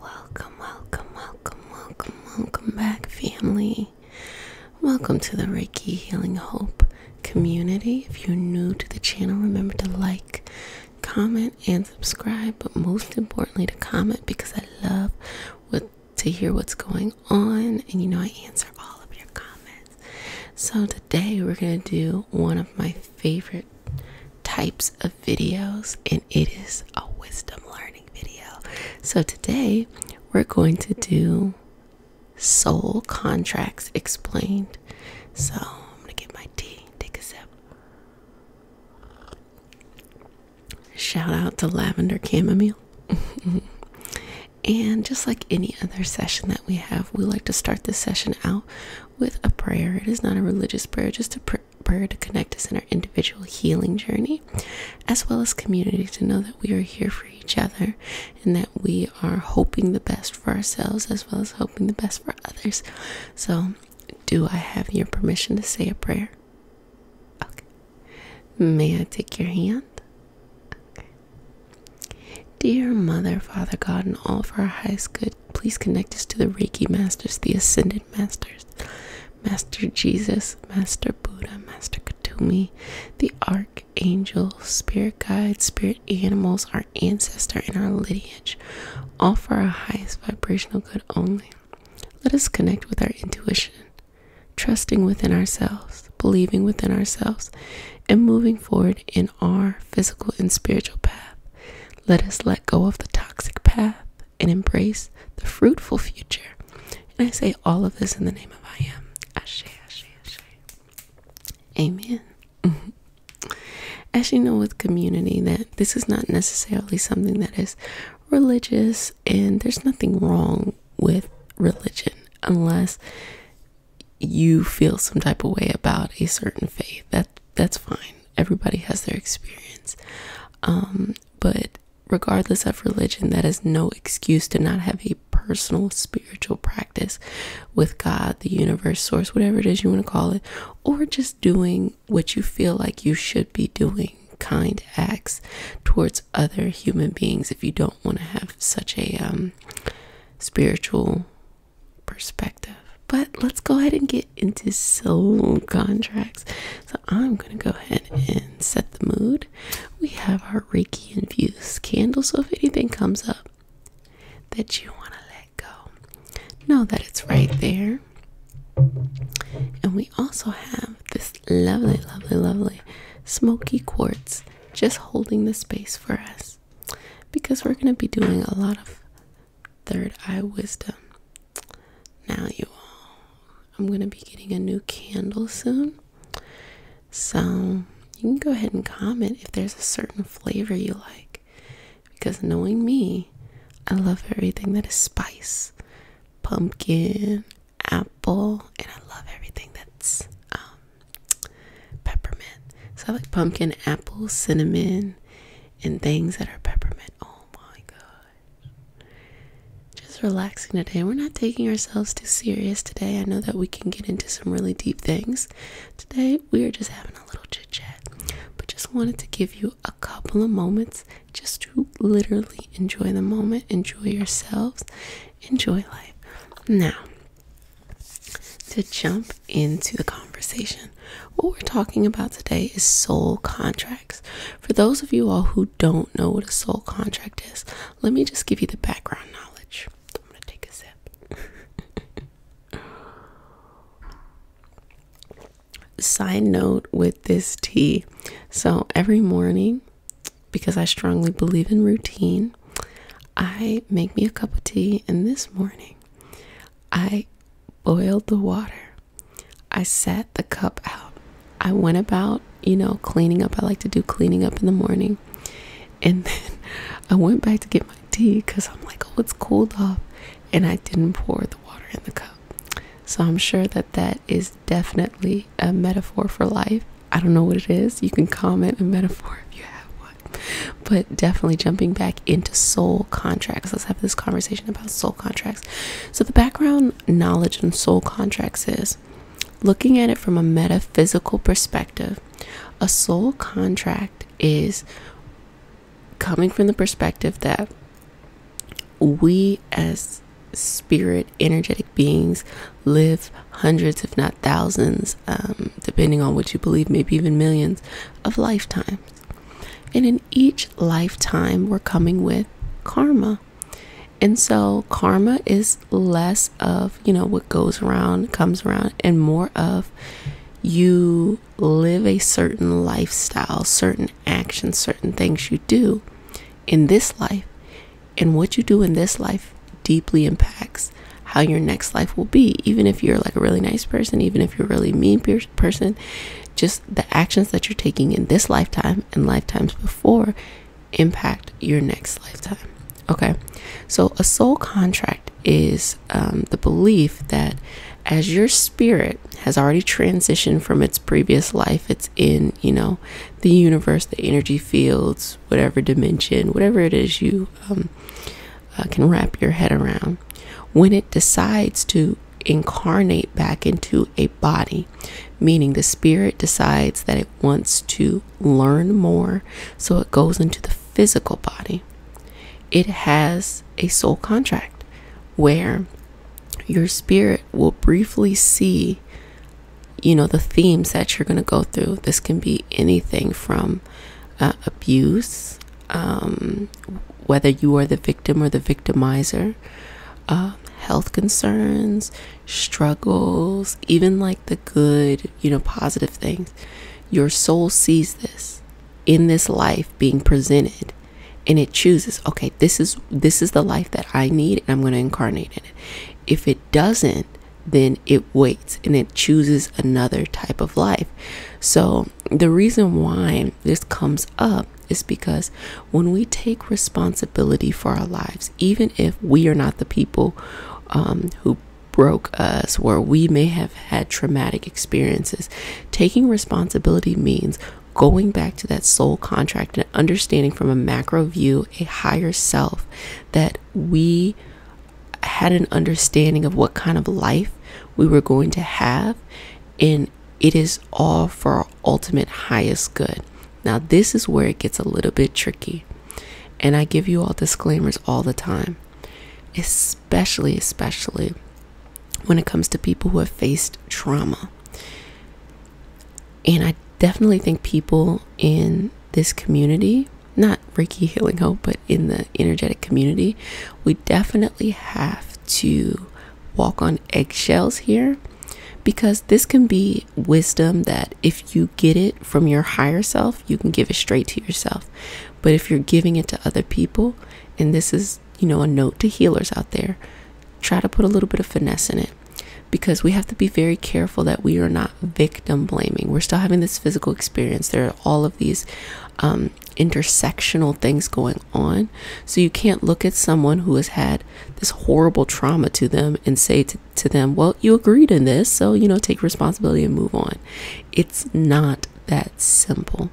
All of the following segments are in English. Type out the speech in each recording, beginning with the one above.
Welcome, welcome, welcome, welcome, welcome back, family. Welcome to the Reiki Healing Hope community. If you're new to the channel, remember to like, comment, and subscribe, but most importantly, to comment because I love what, to hear what's going on, and you know I answer all of your comments. So, today we're going to do one of my favorite types of videos, and it is a wisdom learning video. So, today we're going to do soul contracts explained. So, I'm gonna get my tea, take a sip. Shout out to Lavender Chamomile. and just like any other session that we have, we like to start this session out with a prayer. It is not a religious prayer, just a prayer to connect us in our individual healing journey, as well as community, to know that we are here for each other and that we are hoping the best for ourselves as well as hoping the best for others. So, do I have your permission to say a prayer? Okay. May I take your hand? Okay. Dear Mother, Father God, and all of our highest good, please connect us to the Reiki Masters, the Ascended Masters, Master Jesus, Master Buddha, Master Katumi, the Archangels, Spirit Guides, Spirit Animals, our Ancestor, and our lineage, all for our highest vibrational good only. Let us connect with our intuition, trusting within ourselves, believing within ourselves, and moving forward in our physical and spiritual path. Let us let go of the toxic path and embrace the fruitful future. And I say all of this in the name of I am. Ashe, Ashe, Ashe. Amen. Mm-hmm. As you know, with community, that this is not necessarily something that is religious, and there's nothing wrong with religion unless you feel some type of way about a certain faith. That that's fine everybody has their experience um, but regardless of religion that is no excuse to not have a personal spiritual practice with god the universe source whatever it is you want to call it or just doing what you feel like you should be doing kind acts towards other human beings if you don't want to have such a um, spiritual perspective. But let's go ahead and get into soul contracts. So I'm going to go ahead and set the mood. We have our Reiki infused candle. So if anything comes up that you want to let go, know that it's right there. And we also have this lovely, lovely, lovely smoky quartz just holding the space for us because we're going to be doing a lot of third eye wisdom. Now, you all, I'm going to be getting a new candle soon. So, you can go ahead and comment if there's a certain flavor you like. Because knowing me, I love everything that is spice, pumpkin, apple, and I love everything that's um, peppermint. So I like pumpkin, apple, cinnamon, and things that are peppermint. Oh my god. Just relaxing today. We're not taking ourselves too serious today. I know that we can get into some really deep things. Today we are just having a little chit chat. But just wanted to give you a couple of moments just to literally enjoy the moment, enjoy yourselves, enjoy life. Now, to jump into the conversation. What we're talking about today is soul contracts. For those of you all who don't know what a soul contract is, let me just give you the background knowledge. I'm going to take a sip. Side note with this tea. So every morning, because I strongly believe in routine, I make me a cup of tea, and this morning I boiled the water. I set the cup out. I went about, you know, cleaning up. I like to do cleaning up in the morning. And then I went back to get my tea because I'm like, oh, it's cooled off. And I didn't pour the water in the cup. So I'm sure that that is definitely a metaphor for life. I don't know what it is. You can comment a metaphor if you have one. But definitely jumping back into soul contracts. Let's have this conversation about soul contracts. So, the background knowledge on soul contracts is looking at it from a metaphysical perspective, a soul contract is coming from the perspective that we as spirit energetic beings live hundreds if not thousands um, depending on what you believe maybe even millions of lifetimes. And in each lifetime, we're coming with karma. And so karma is less of, you know, what goes around, comes around, and more of you live a certain lifestyle, certain actions, certain things you do in this life. And what you do in this life deeply impacts how your next life will be even if you're like a really nice person even if you're a really mean person just the actions that you're taking in this lifetime and lifetimes before impact your next lifetime okay so a soul contract is um, the belief that as your spirit has already transitioned from its previous life it's in you know the universe the energy fields whatever dimension whatever it is you um, uh, can wrap your head around. When it decides to incarnate back into a body, meaning the spirit decides that it wants to learn more, so it goes into the physical body. It has a soul contract where your spirit will briefly see you know the themes that you're going to go through this can be anything from uh, abuse, um, whether you are the victim or the victimizer, um, health concerns, struggles, even like the good, you know, positive things. Your soul sees this in this life being presented and it chooses okay this is this is the life that i need and i'm going to incarnate in it if it doesn't then it waits and it chooses another type of life. So, the reason why this comes up is because when we take responsibility for our lives, even if we are not the people um, who broke us, where we may have had traumatic experiences, taking responsibility means going back to that soul contract and understanding from a macro view, a higher self, that we had an understanding of what kind of life we were going to have, and it is all for our ultimate highest good. Now, this is where it gets a little bit tricky, and I give you all disclaimers all the time, especially, especially when it comes to people who have faced trauma. And I definitely think people in this community not Reiki Healing Hope, but in the energetic community, we definitely have to walk on eggshells here because this can be wisdom that if you get it from your higher self, you can give it straight to yourself. But if you're giving it to other people, and this is, you know, a note to healers out there, try to put a little bit of finesse in it because we have to be very careful that we are not victim blaming. We're still having this physical experience. There are all of these um, intersectional things going on. So you can't look at someone who has had this horrible trauma to them and say to them, well, you agreed in this, so, you know, take responsibility and move on. It's not that simple.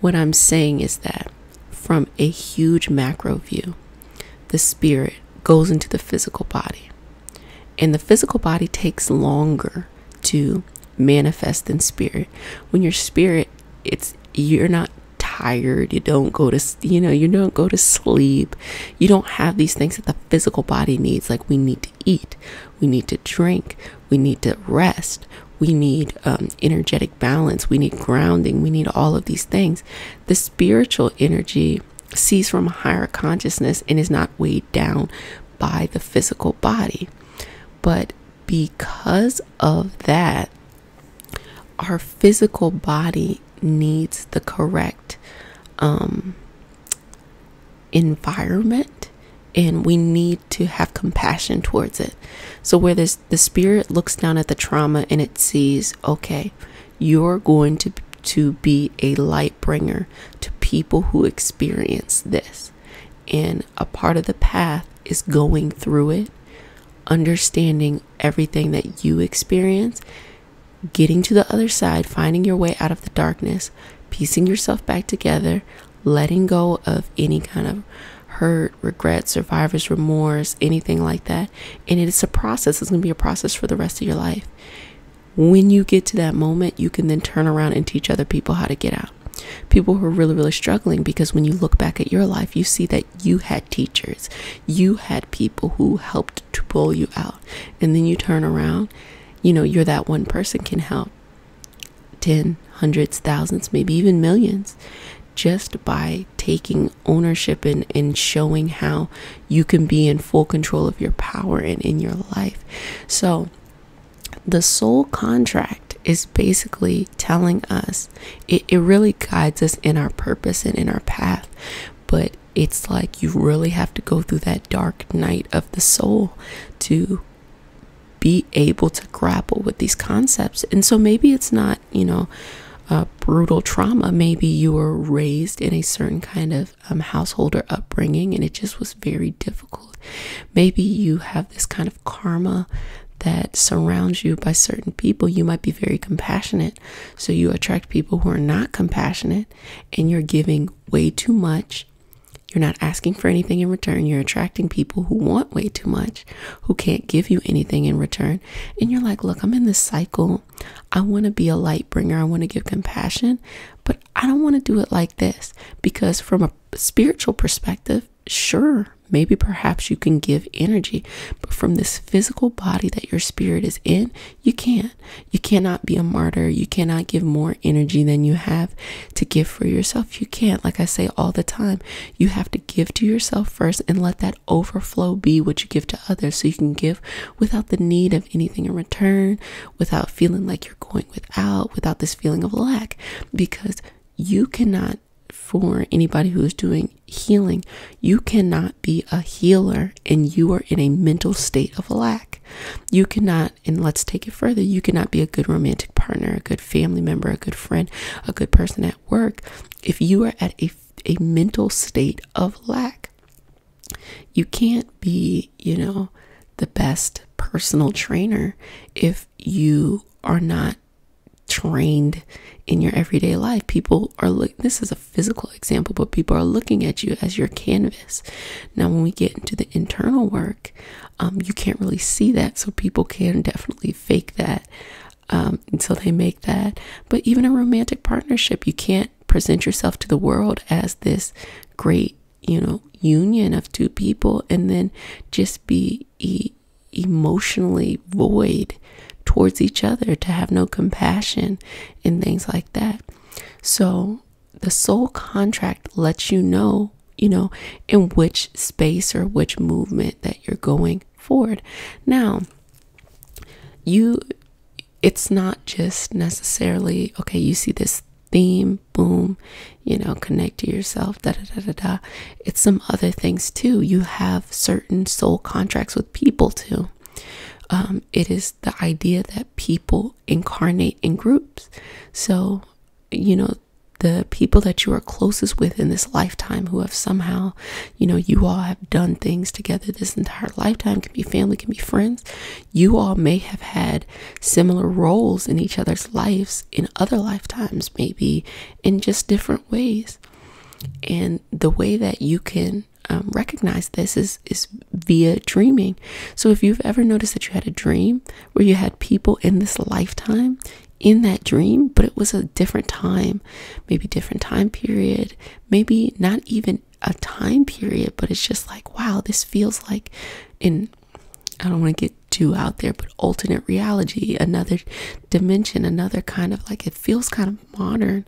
What I'm saying is that from a huge macro view, the spirit goes into the physical body. And the physical body takes longer to manifest in spirit. When your spirit, it's you're not tired, you don't go to you know, you don't go to sleep. You don't have these things that the physical body needs like we need to eat, we need to drink, we need to rest. We need um, energetic balance. We need grounding. We need all of these things. The spiritual energy sees from a higher consciousness and is not weighed down by the physical body. But because of that, our physical body needs the correct um, environment and we need to have compassion towards it. So, where this, the spirit looks down at the trauma and it sees, okay, you're going to, to be a light bringer to people who experience this. And a part of the path is going through it, understanding everything that you experience, getting to the other side, finding your way out of the darkness, piecing yourself back together, letting go of any kind of hurt, regret, survivor's remorse, anything like that. And it is a process. It's going to be a process for the rest of your life when you get to that moment, you can then turn around and teach other people how to get out. People who are really, really struggling because when you look back at your life, you see that you had teachers, you had people who helped to pull you out. And then you turn around, you know, you're that one person can help 10, hundreds, thousands, maybe even millions just by taking ownership and, and showing how you can be in full control of your power and in your life. So, the soul contract is basically telling us it, really guides us in our purpose and in our path, but it's like you really have to go through that dark night of the soul to be able to grapple with these concepts. And so maybe it's not, you know, uh, brutal trauma. Maybe you were raised in a certain kind of um, householder upbringing, and it just was very difficult. Maybe you have this kind of karma that surrounds you by certain people. You might be very compassionate, so you attract people who are not compassionate, and you're giving way too much. You're not asking for anything in return. You're attracting people who want way too much, who can't give you anything in return. And you're like, look, I'm in this cycle. I want to be a light bringer. I want to give compassion, but I don't want to do it like this because, from a spiritual perspective, sure, maybe perhaps you can give energy, but from this physical body that your spirit is in, you can't. You cannot be a martyr. You cannot give more energy than you have to give for yourself. You can't. Like I say all the time, you have to give to yourself first and let that overflow be what you give to others so you can give without the need of anything in return without feeling like you're going without, without this feeling of lack, because you cannot, for anybody who is doing healing, you cannot be a healer and you are in a mental state of lack. You cannot, and let's take it further, you cannot be a good romantic partner, a good family member, a good friend, a good person at work if you are at a, a mental state of lack. You can't be, you know, the best personal trainer if you are not trained in your everyday life. People are look this is a physical example, but people are looking at you as your canvas. Now when we get into the internal work, um, you can't really see that. So people can definitely fake that um, until they make that. But even a romantic partnership, you can't present yourself to the world as this great, you know, union of two people and then just be emotionally void towards each other, to have no compassion and things like that. So, the soul contract lets you know, you know, in which space or which movement that you're going forward. Now, you it's not just necessarily okay you see this theme boom you know connect to yourself da da da da da it's some other things too you have certain soul contracts with people too um, it is the idea that people incarnate in groups so you know the people that you are closest with in this lifetime who have somehow you know you all have done things together this entire lifetime can be family can be friends you all may have had similar roles in each other's lives in other lifetimes, maybe in just different ways. And the way that you can um, recognize this is is via dreaming. So if you've ever noticed that you had a dream where you had people in this lifetime in that dream, but it was a different time, maybe different time period, maybe not even a time period, but it's just like, wow, this feels like in I don't want to get too out there, but alternate reality, another dimension, another kind of like it feels kind of modern.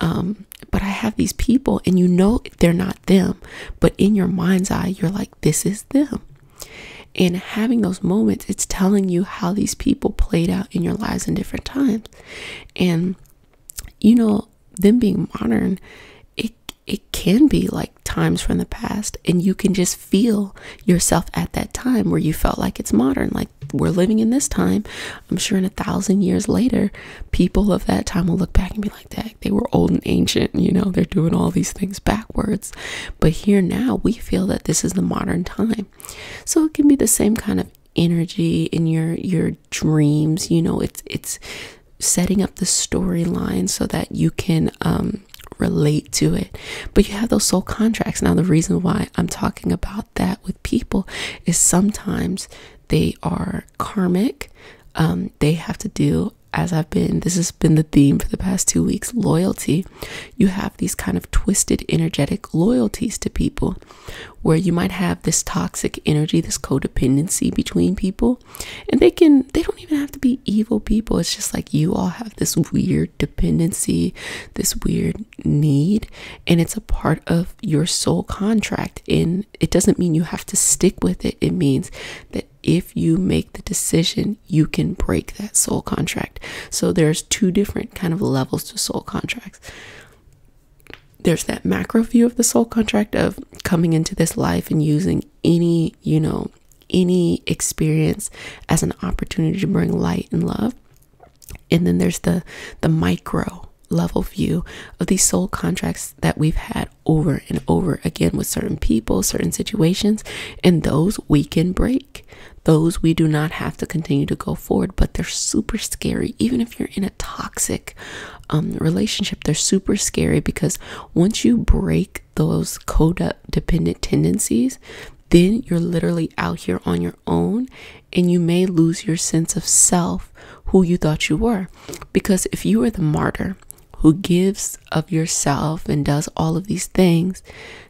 Um, but I have these people, and you know they're not them, but in your mind's eye, you're like, this is them. And having those moments, it's telling you how these people played out in your lives in different times. And you know, about them being modern it it can be like times from the past and you can just feel yourself at that time where you felt like it's modern like we're living in this time i'm sure in a thousand years later people of that time will look back and be like that they were old and ancient you know they're doing all these things backwards but here now we feel that this is the modern time so it can be the same kind of energy in your your dreams you know it's it's setting up the storyline so that you can um relate to it but you have those soul contracts now the reason why i'm talking about that with people is sometimes they are karmic um they have to do as i've been this has been the theme for the past 2 weeks loyalty you have these kind of twisted energetic loyalties to people where you might have this toxic energy, this codependency between people. And they can, they don't even have to be evil people. It's just like you all have this weird dependency, this weird need, and it's a part of your soul contract. And it doesn't mean you have to stick with it, it means that if you make the decision, you can break that soul contract. So there's two different kind of levels to soul contracts there's that macro view of the soul contract of coming into this life and using any, you know, any experience as an opportunity to bring light and love. And then there's the the micro level view of these soul contracts that we've had over and over again with certain people, certain situations, and those we can break. Those we do not have to continue to go forward, but they're super scary. Even if you're in a toxic um, relationship. They're super scary because once you break those dependent tendencies, then you're literally out here on your own and you may lose your sense of self, who you thought you were. Because if you were the martyr who gives of yourself and does all of these things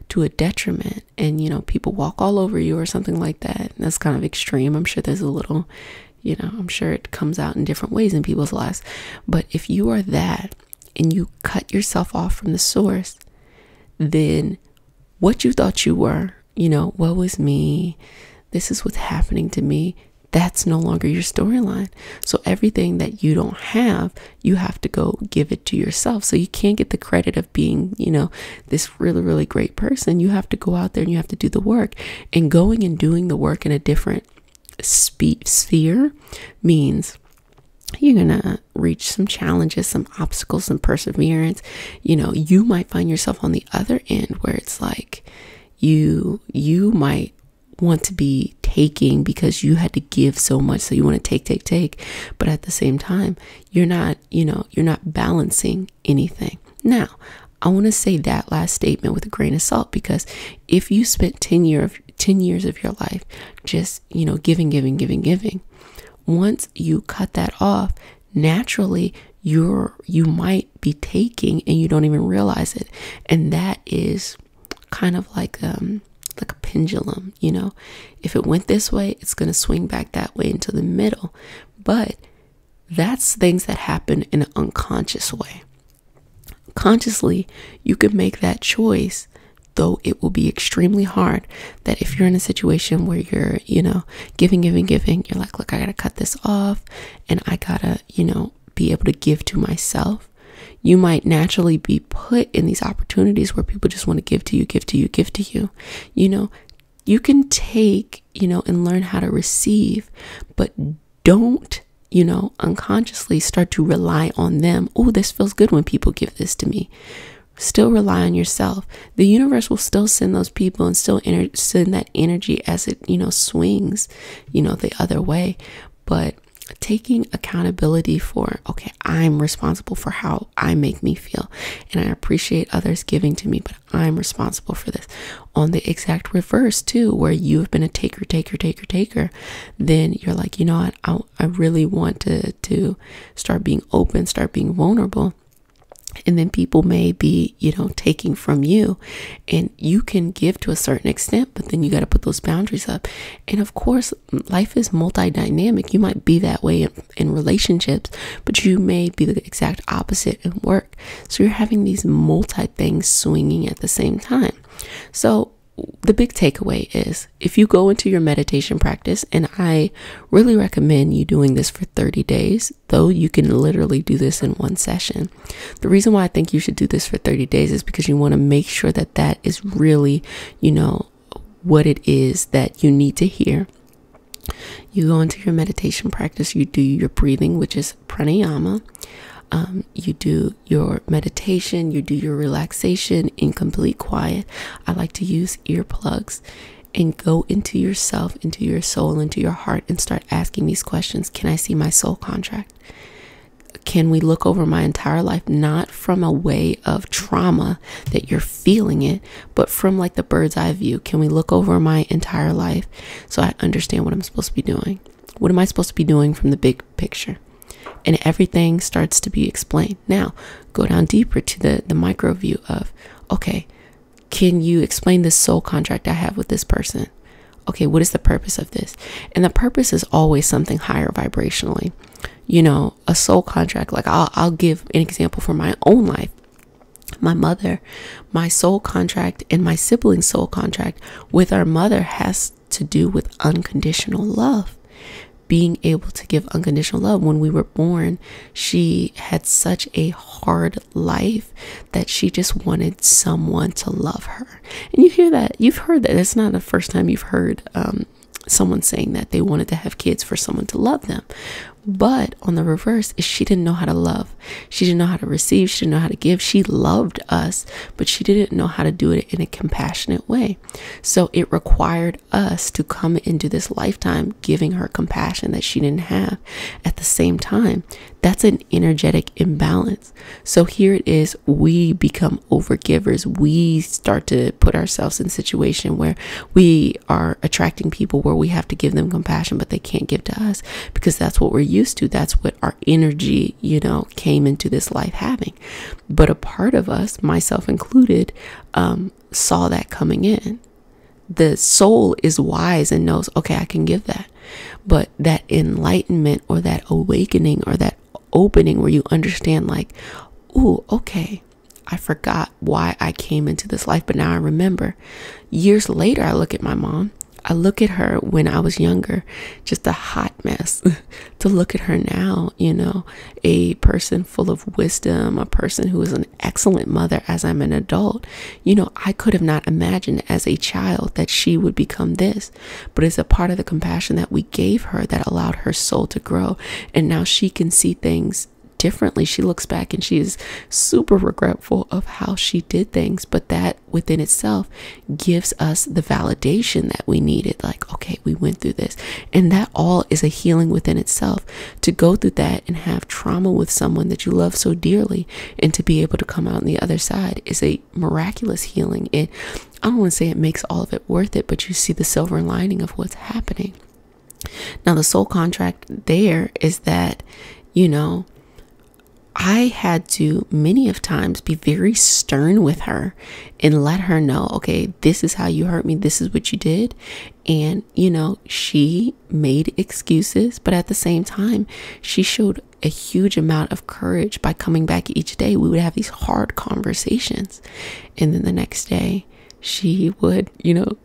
to a detriment, and you know, people walk all over you or something like that, that's kind of extreme. I'm sure there's a little you know i'm sure it comes out in different ways in people's lives but if you are that and you cut yourself off from the source then what you thought you were you know what was me this is what's happening to me that's no longer your storyline so everything that you don't have you have to go give it to yourself so you can't get the credit of being you know this really, really great person, you have to go out there and you have to do the work. And going and doing the work in a different sphere means you're going to reach some challenges, some obstacles, some perseverance. You know, you might find yourself on the other end where it's like you you might want to be taking because you had to give so much so you want to take take take but at the same time you're not you know you're not balancing anything now I want to say that last statement with a grain of salt because if you spent 10 year of 10 years of your life just, you know, giving, giving, giving, giving, once you cut that off, naturally you're you might be taking and you don't even realize it. And that is kind of like um like a pendulum, you know. If it went this way, it's going to swing back that way into the middle. But that's things that happen in an unconscious way. Consciously, you can make that choice, though it will be extremely hard. That if you're in a situation where you're, you know, giving, giving, giving, you're like, look, I gotta cut this off and I gotta, you know, be able to give to myself you might naturally be put in these opportunities where people just want to give to you, give to you, give to you. You know, you can take you know, and learn how to receive, but don't, you know, unconsciously start to rely on them. Oh, this feels good when people give this to me. Still rely on yourself. The universe will still send those people and still send that energy as it, you know, swings, you know, the other way. But taking accountability for okay i'm responsible for how i make me feel and i appreciate others giving to me but. I'm responsible for this. On the exact reverse, too, where you have been a taker, taker, taker, taker, then you're like, you know what, I, I really want to, to start being open, start being vulnerable. And then people may be, you know, taking from you, and you can give to a certain extent, but then you got to put those boundaries up. And of course, life is multi dynamic. You might be that way in relationships, but you may be the exact opposite in work. So you're having these multi things swinging at the same time. So the big takeaway is if you go into your meditation practice, and I really recommend you doing this for 30 days, though you can literally do this in one session. The reason why I think you should do this for 30 days is because you want to make sure that that is really, you know, what it is that you need to hear you go into your meditation practice, you do your breathing, which is pranayama. Um, you do your meditation, you do your relaxation in complete quiet. I like to use earplugs and go into yourself, into your soul, into your heart, and start asking these questions Can I see my soul contract? Can we look over my entire life, not from a way of trauma that you're feeling it, but from like the bird's eye view can we look over my entire life so i understand what i'm supposed to be doing what am i supposed to be doing from the big picture and everything starts to be explained now go down deeper to the the micro view of okay can you explain this soul contract i have with this person okay what is the purpose of this and the purpose is always something higher vibrationally you know a soul contract like i'll, I'll give an example for my own life my mother, my soul contract, and my sibling's soul contract with our mother has to do with unconditional love. Being able to give unconditional love. When we were born, she had such a hard life that she just wanted someone to love her. And you hear that, you've heard that. It's not the first time you've heard um, someone saying that they wanted to have kids for someone to love them. But on the reverse, is she didn't know how to love. She didn't know how to receive. She didn't know how to give. She loved us, but she didn't know how to do it in a compassionate way. So it required us to come into this lifetime giving her compassion that she didn't have. At the same time, that's an energetic imbalance. So here it is, we become overgivers. We start to put ourselves in situation where we are attracting people where we have to give them compassion but they can't give to us because that's what we're used to that's what our energy you know came into this life having but a part of us myself included um, saw that coming in the soul is wise and knows okay i can give that but that enlightenment or that awakening or that opening where you understand like oh okay I forgot why I came into this life, but now I remember. Years later, I look at my mom. I look at her when I was younger, just a hot mess. to look at her now, you know, a person full of wisdom, a person who is an excellent mother as I'm an adult. You know, I could have not imagined as a child that she would become this, but it's a part of the compassion that we gave her that allowed her soul to grow. And now she can see things differently. She looks back and she is super regretful of how she did things, but that within itself gives us the validation that we needed. Like, okay, we went through this. And that all is a healing within itself. To go through that and have trauma with someone that you love so dearly and to be able to come out on the other side is a miraculous healing. It I don't want to say it makes all of it worth it, but you see the silver lining of what's happening. Now, the sole contract there is that, you know, I had to many of times be very stern with her and let her know, okay, this is how you hurt me, this is what you did. And, you know, she made excuses, but at the same time, she showed a huge amount of courage by coming back each day. We would have these hard conversations. And then the next day, she would, you know,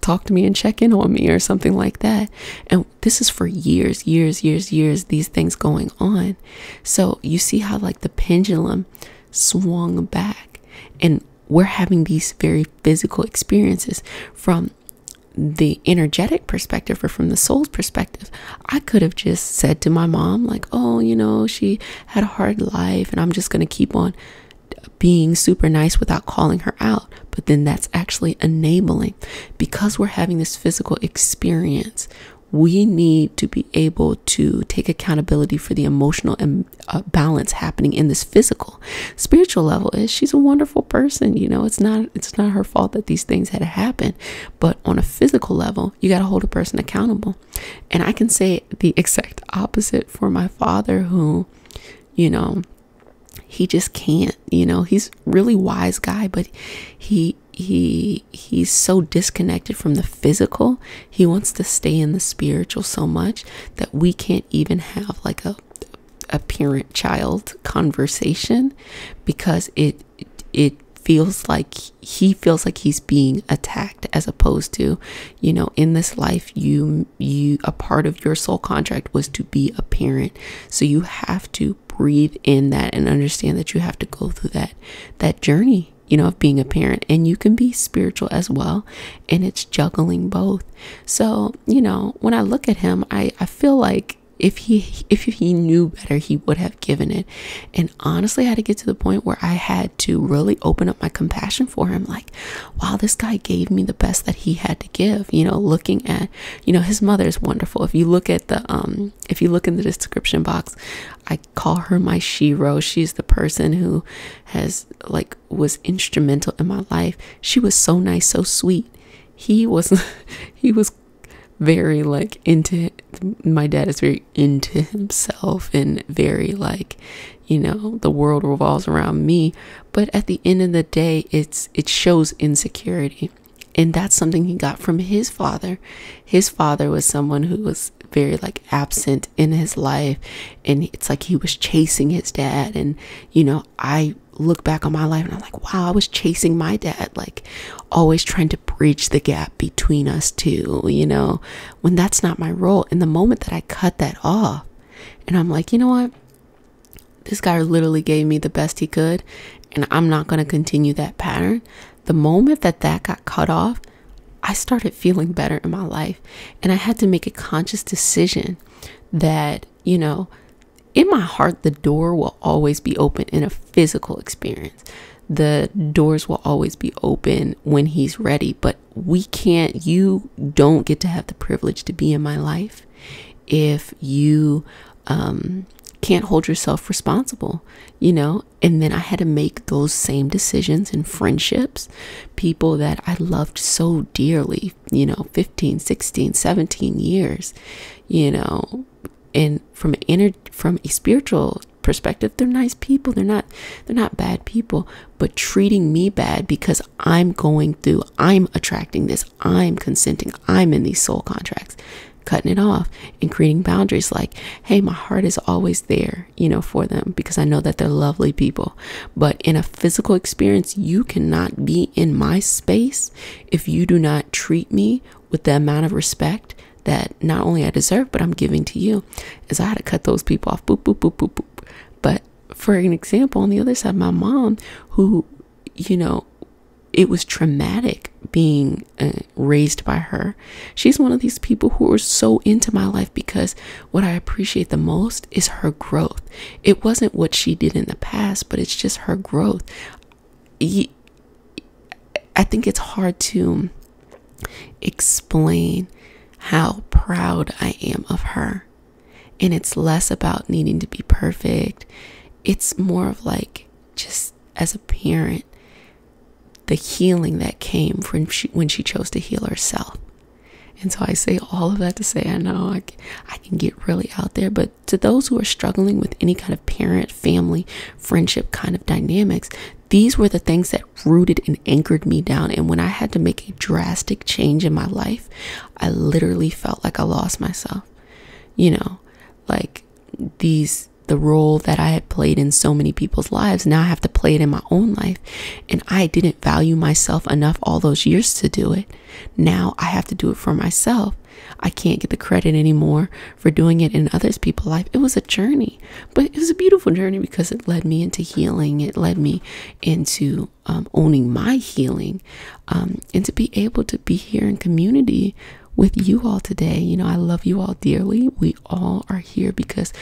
talk to me and check in on me or something like that. And this is for years, years, years, years, these things going on. So you see how, like, the pendulum swung back, and we're having these very physical experiences from the energetic perspective or from the soul's perspective, I could have just said to my mom, like, oh, you know, she had a hard life and I'm just going to keep on being super nice without calling her out, but then that's actually enabling because we're having this physical experience. We need to be able to take accountability for the emotional and uh, balance happening in this physical, spiritual level. Is she's a wonderful person, you know. It's not it's not her fault that these things had to happen, but on a physical level, you got to hold a person accountable. And I can say the exact opposite for my father, who you know he just can't you know he's really wise guy but he he he's so disconnected from the physical he wants to stay in the spiritual so much that we can't even have like a a parent child conversation because it it feels like he feels like he's being attacked as opposed to you know in this life you you a part of your soul contract was to be a parent so you have to breathe in that and understand that you have to go through that that journey you know of being a parent and you can be spiritual as well and it's juggling both so you know when i look at him i i feel like if he if he knew better he would have given it and honestly I had to get to the point where i had to really open up my compassion for him. Like, wow, this guy gave me the best that he had to give. You know, looking at, you know, his mother is wonderful. If you look at the, um, if you look in the description box, I call her my Shiro. She's the person who has like was instrumental in my life. She was so nice, so sweet. He was, he was very like into my dad is very into himself and very like you know the world revolves around me but at the end of the day it's it shows insecurity and that's something he got from his father his father was someone who was very like absent in his life and it's like he was chasing his dad and you know i look back on my life and i'm like wow i was chasing my dad like always trying to bridge the gap between us two you know when that's not my role. in the moment that I cut that off, and I'm like, you know what? This guy literally gave me the best he could, and I'm not going to continue that pattern. The moment that that got cut off, I started feeling better in my life. And I had to make a conscious decision that, you know, in my heart, the door will always be open in a physical experience. The doors will always be open when he's ready. But we can't, you don't get to have the privilege to be in my life if you um, can't hold yourself responsible, you know? And then I had to make those same decisions in friendships, people that I loved so dearly, you know, 15, 16, 17 years, you know, and from inner, from a spiritual perspective, they're nice people. They're not, they're not bad people, but treating me bad because I'm going through, I'm attracting this, I'm consenting, I'm in these soul contracts, cutting it off and creating boundaries like, hey, my heart is always there, you know, for them because I know that they're lovely people. But in a physical experience, you cannot be in my space if you do not treat me with the amount of respect that not only I deserve, but I'm giving to you. Is I had to cut those people off. But for an example, on the other side, my mom, who, you know, it was traumatic being uh, raised by her. She's one of these people who are so into my life because what I appreciate the most is her growth. It wasn't what she did in the past, but it's just her growth. I think it's hard to explain how proud I am of her. And it's less about needing to be perfect, it's more of like just as a parent, the healing that came from she, when she chose to heal herself. And so I say all of that to say, I know I I can get really out there, but to those who are struggling with any kind of parent, family, friendship kind of dynamics, these were the things that that rooted and anchored me down. And when I had to make a drastic change in my life, I literally felt like I lost myself. You know, like these the role that I had played in so many people's lives. Now I have to play it in my own life. And I didn't value myself enough all those years to do it. Now I have to do it for myself. I can't get the credit anymore for doing it in others people's life. It was a journey but it was a beautiful journey because it led me into healing. It led me into um, owning my healing, um, and to be able to be here in community with you all today. You know, I love you all dearly. We all are here because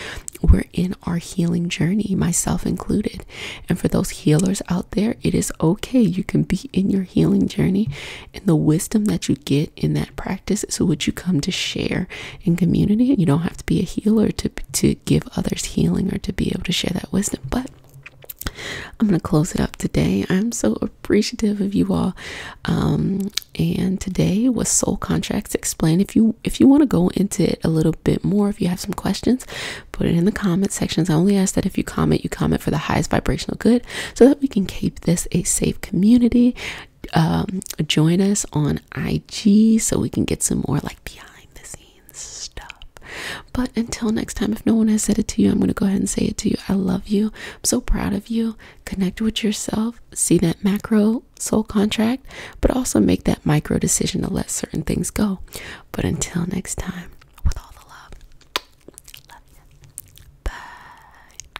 we're in our healing journey, myself included. And for those healers out there, it is okay. You can be in your healing journey, and the wisdom that you get in that practice is what you come to share in community. You don't have to be a healer to to give others healing or to be able to share that wisdom. But I'm gonna close it up today. I'm so appreciative of you all. Um, and today was soul contracts explained. If you if you want to go into it a little bit more, if you have some questions, put it in the comment sections. I only ask that if you comment, you comment for the highest vibrational good, so that we can keep this a safe community um, join us on IG so we can get some more like behind the scenes stuff. But until next time, if no one has said it to you, I'm going to go ahead and say it to you. I love you. I'm so proud of you. Connect with yourself. See that macro soul contract, but also make that micro decision to let certain things go. But until next time, with all the love, Bye.